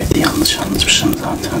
Evet, yanlış anlamışım zaten.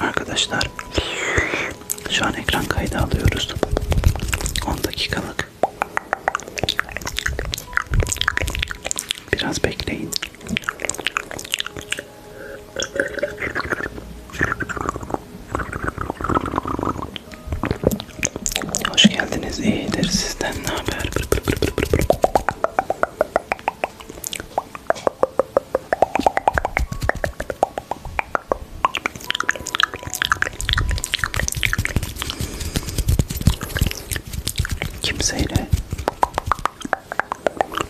Arkadaşlar şu an ekran kaydı alıyoruz. 10 dakikalık. Biraz bekleyin. Hoş geldiniz. İyidir sizden ne haber? Pır pır pır pır pır pır. Kimseyle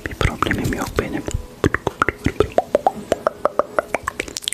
bir problemim yok benim.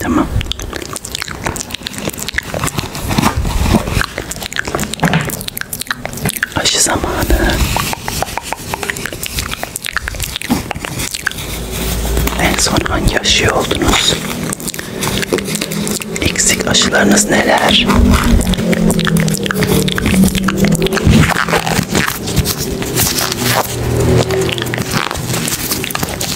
Tamam. Aşı zamanı. En son hangi aşıyı oldunuz? Eksik aşılarınız neler?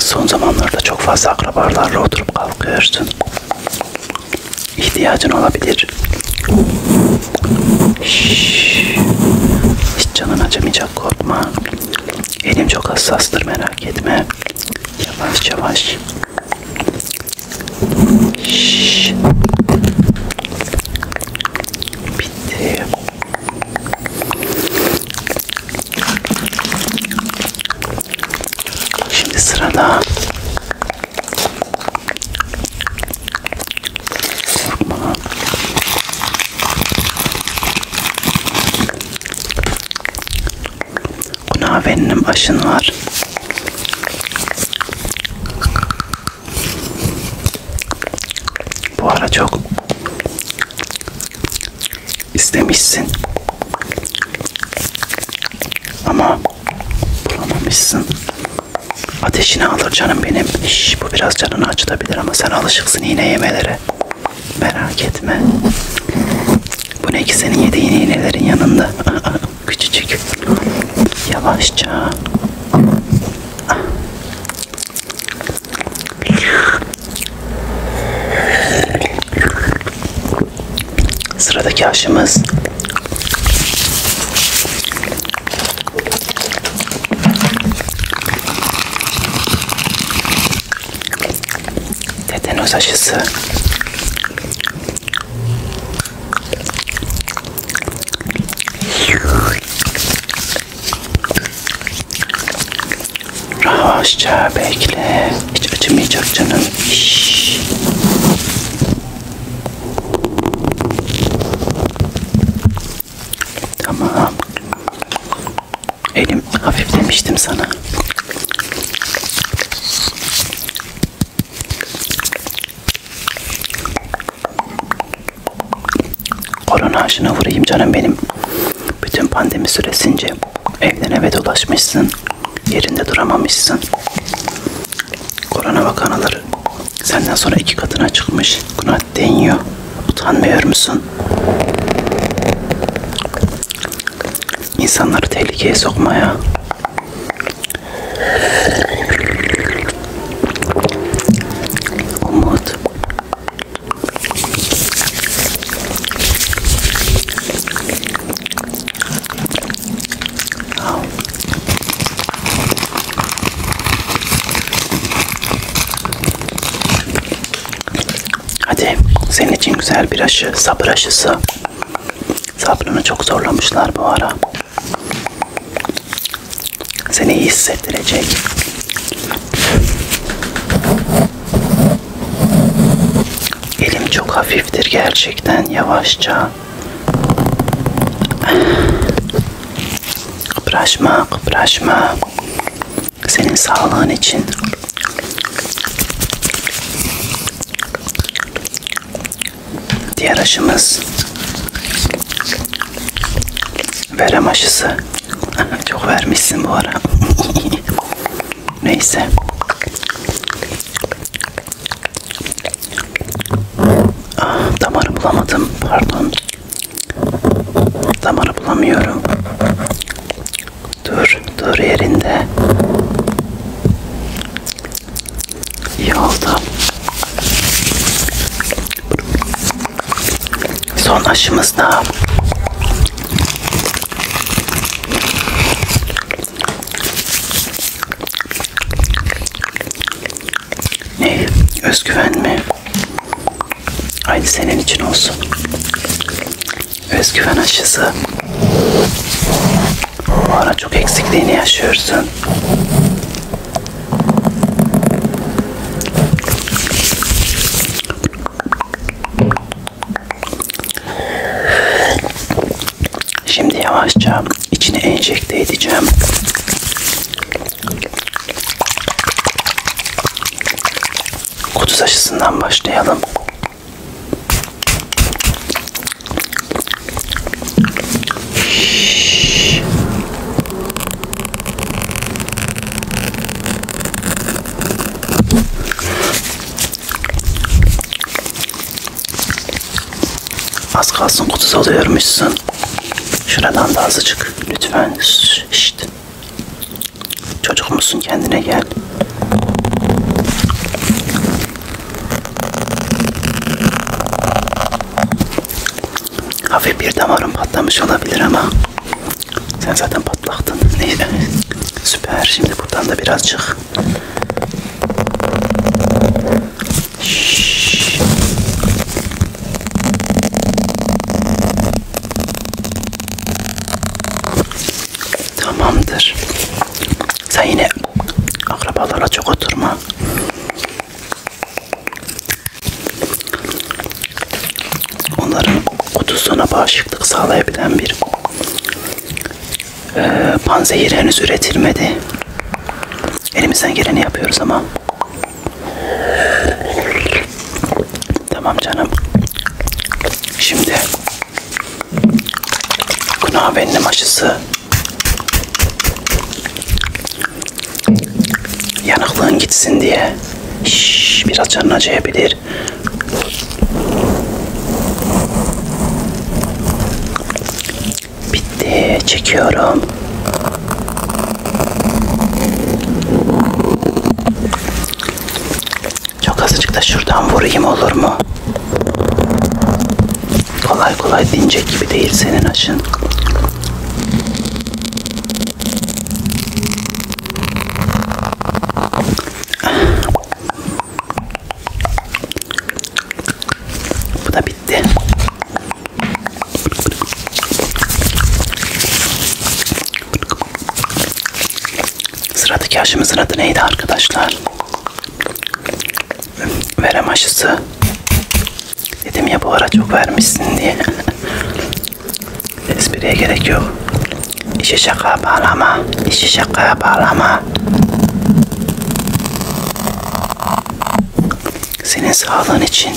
Son zamanlarda çok fazla akrabalarla oturup kalkıyorsun. İhtiyacın olabilir. Şşş. Hiç canın acımayacak korkma. Elim çok hassastır merak etme. Yavaş yavaş. Şşş. Bitti. Şimdi sırada kurma. Buna benim aşın var. Bu ara çok istemişsin ama bulamamışsın. Ateşini alır canım benim. Şş, bu biraz canını acıtabilir ama sen alışıksın iğne yemelere. Merak etme. Bu ne ki senin yediğin iğnelerin yanında. Aa, küçücük. Yavaşça. Ah. Sıradaki aşımız tetanoz aşısı. Rahatça bekle. Hiç acımayacak canım. Şşş. Tamam. Elim hafif demiştim sana. Korona aşına vurayım canım benim. Bütün pandemi süresince Evden eve dolaşmışsın. Yerinde duramamışsın. Korona vakaları senden sonra iki katına çıkmış. Buna deniyor. Utanmıyor musun? İnsanları tehlikeye sokmaya. Umut, Hadi senin için güzel bir aşı, sabır aşısı. Sabrını çok zorlamışlar bu ara. Seni iyi hissettirecek. Elim çok hafiftir gerçekten yavaşça. Kıpraşma, kıpraşma. Senin sağlığın için. Diğer aşımız verem aşısı. Çok vermişsin bu ara. Neyse. Ah, damarı bulamadım. Pardon. Damarı bulamıyorum. Dur, dur yerinde. İyi oldu. Son aşımızda ne? Özgüven mi? Aynı senin için olsun. Özgüven aşısı. Bu ara çok eksikliğini yaşıyorsun. Şimdi yavaşça içine enjekte edeceğim. Kuduz aşısından başlayalım. Az kalsın kutusu alıyormuşsun. Şuradan da azıcık lütfen. İşte. Çocuk musun kendine gel. Hafif bir damarım patlamış olabilir ama sen zaten patlaktın. Neyse. Süper. Şimdi buradan da biraz çık. Şşş. Tamamdır. Sen yine akrabalara çok oturma onların kutusuna bağışıklık sağlayabilen bir e, panzehir henüz üretilmedi. Elimizden geleni yapıyoruz ama. Tamam canım. Şimdi günah benim aşısı yanıklığın gitsin diye Şş, biraz canın acıyabilir. Bitti. Çekiyorum. Çok azıcık da şuradan vurayım olur mu? Kolay kolay dinecek gibi değil senin aşın. Bu da bitti. Sıradaki aşımızın adı neydi arkadaşlar? Verem aşısı. Dedim ya bu ara çok vermişsin diye. Espriye gerek yok. İşi şakaya bağlama. İşi şakaya bağlama. Senin sağlığın için.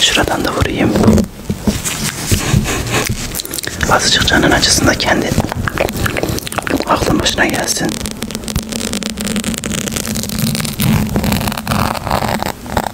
Şuradan da vurayım. Azıcık canın acısında kendi aklın başına gelsin.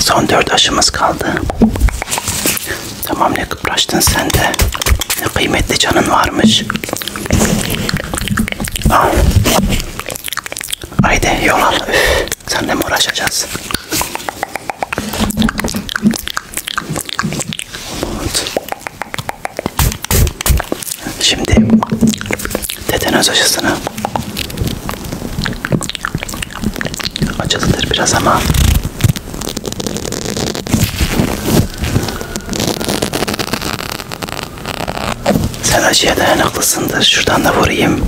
Son dört aşımız kaldı. Tamam ne kıpraştın sen de. Ne kıymetli canın varmış. Aa. Haydi yol al. Üf. Senle mi uğraşacağız? Şimdi tetanoz aşısını acılıdır biraz ama sen acıya dayanıklısındır şuradan da vurayım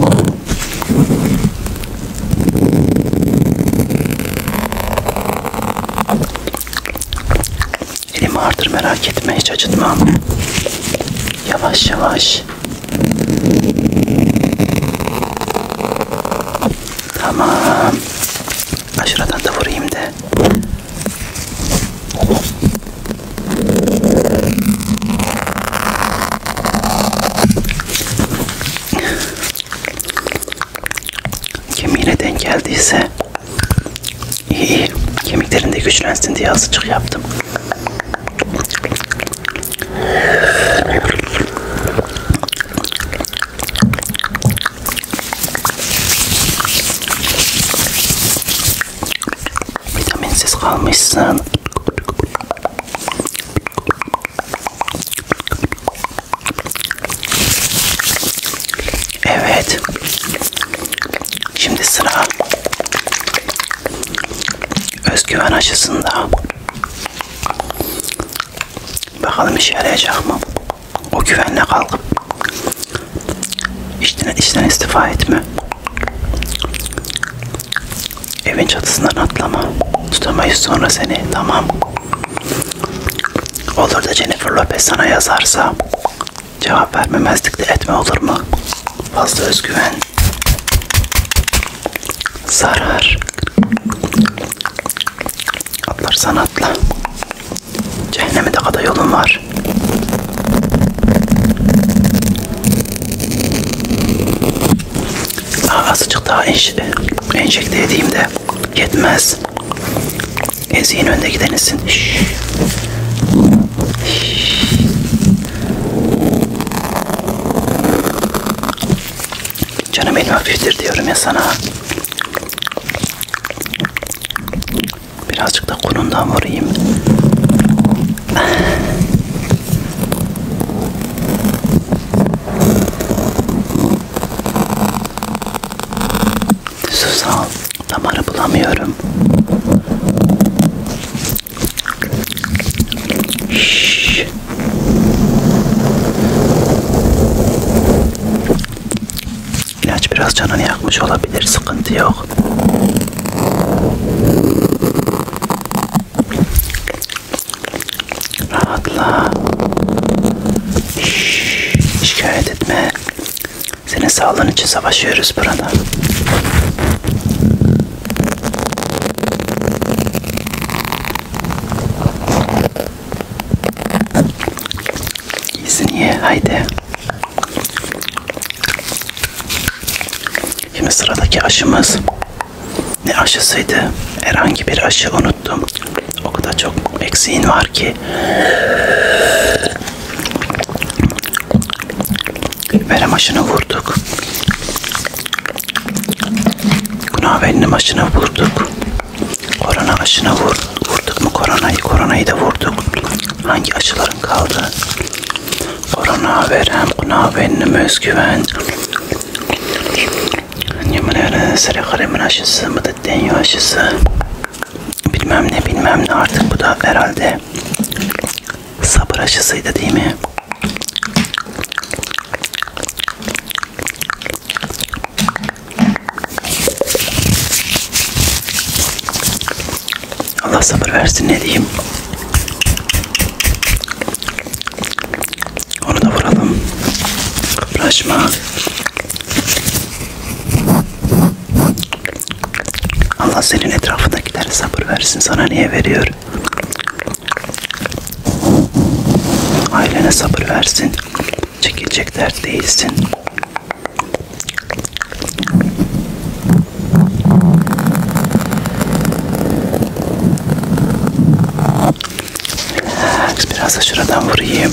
Elim ağırdır merak etme hiç acıtmam. Yavaş yavaş. Tamam. Aşağıdan da vurayım de. Kemiğine denk geldiyse İyi iyi. Kemiklerinde güçlensin diye azıcık yaptım. Vitaminsiz kalmışsın. Evet. Şimdi sıra özgüven aşısında. Bakalım işe yarayacak mı? O güvenle kalkıp işten, işten istifa etme. Evin çatısından atlama. Tutamayız sonra seni. Tamam. Olur da Jennifer Lopez sana yazarsa Cevap vermemezlik de etme olur mu? Fazla özgüven zarar atlar sanatla cehenneme de kadar yolun var daha azıcık daha enş enjekte edeyim de yetmez eziğin önde gidenisin Şşş. Canım benim hafiftir diyorum ya sana. Birazcık da konundan vurayım. Susal. Damarı bulamıyorum. Şşş. İlaç biraz canını yakmış olabilir. Sıkıntı yok. Rahatla. Şşş. Şikayet etme. Senin sağlığın için savaşıyoruz burada. İyisin ye, haydi. Şimdi sıradaki aşımız ne aşısıydı? Herhangi bir aşı unuttum. O kadar çok eksiğin var ki. Benim aşını vurduk. Günah benim aşını vurduk. Korona aşını vurduk. Vurduk mu koronayı? Koronayı da vurduk. Hangi aşıların kaldı? Korona verem, günah benim özgüven. Yemin ederim, sarı karemin aşısı, mıdıt deniyor aşısı. Bilmem ne bilmem ne artık bu da herhalde sabır aşısıydı değil mi? Allah sabır versin ne diyeyim. Onu da vuralım. Uğraşma. Allah senin etrafındakilere sabır versin. Sana niye veriyor? Ailene sabır versin. Çekilecek dert değilsin. Relax, biraz da şuradan vurayım.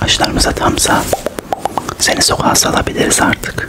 Aşılarımıza tamsa seni sokağa salabiliriz artık.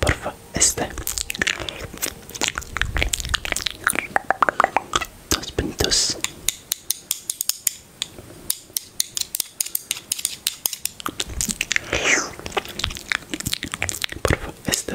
Porfa, este Dos puntos Porfa, este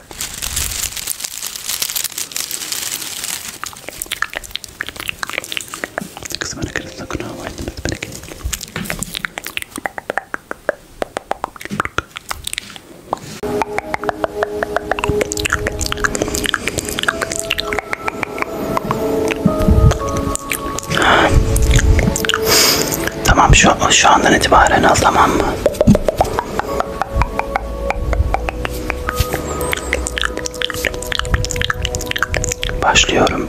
kısmını kırılsa kunağı vaydınız bana gelin. Tamam şu, şu andan itibaren al tamam mı? Başlıyorum.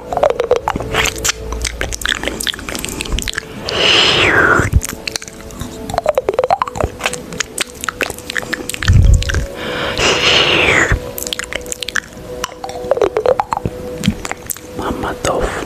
まんま豆腐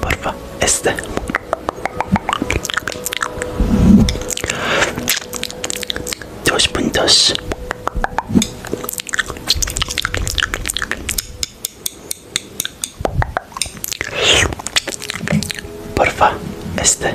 Porfa, este. Dos puntos. Porfa, este.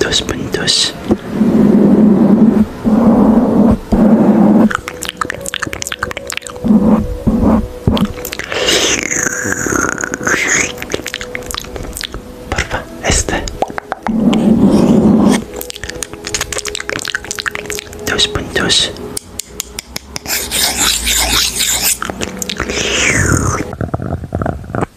dos puntos porfa este dos puntos Cemel'dim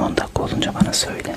10 dakika olunca bana söyle.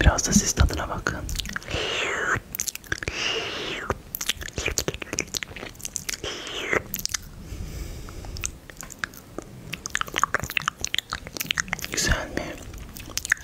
Biraz da siz tadına bakın. Güzel mi?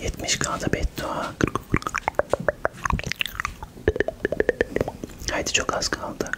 70 kaldı beddua. Haydi çok az kaldı.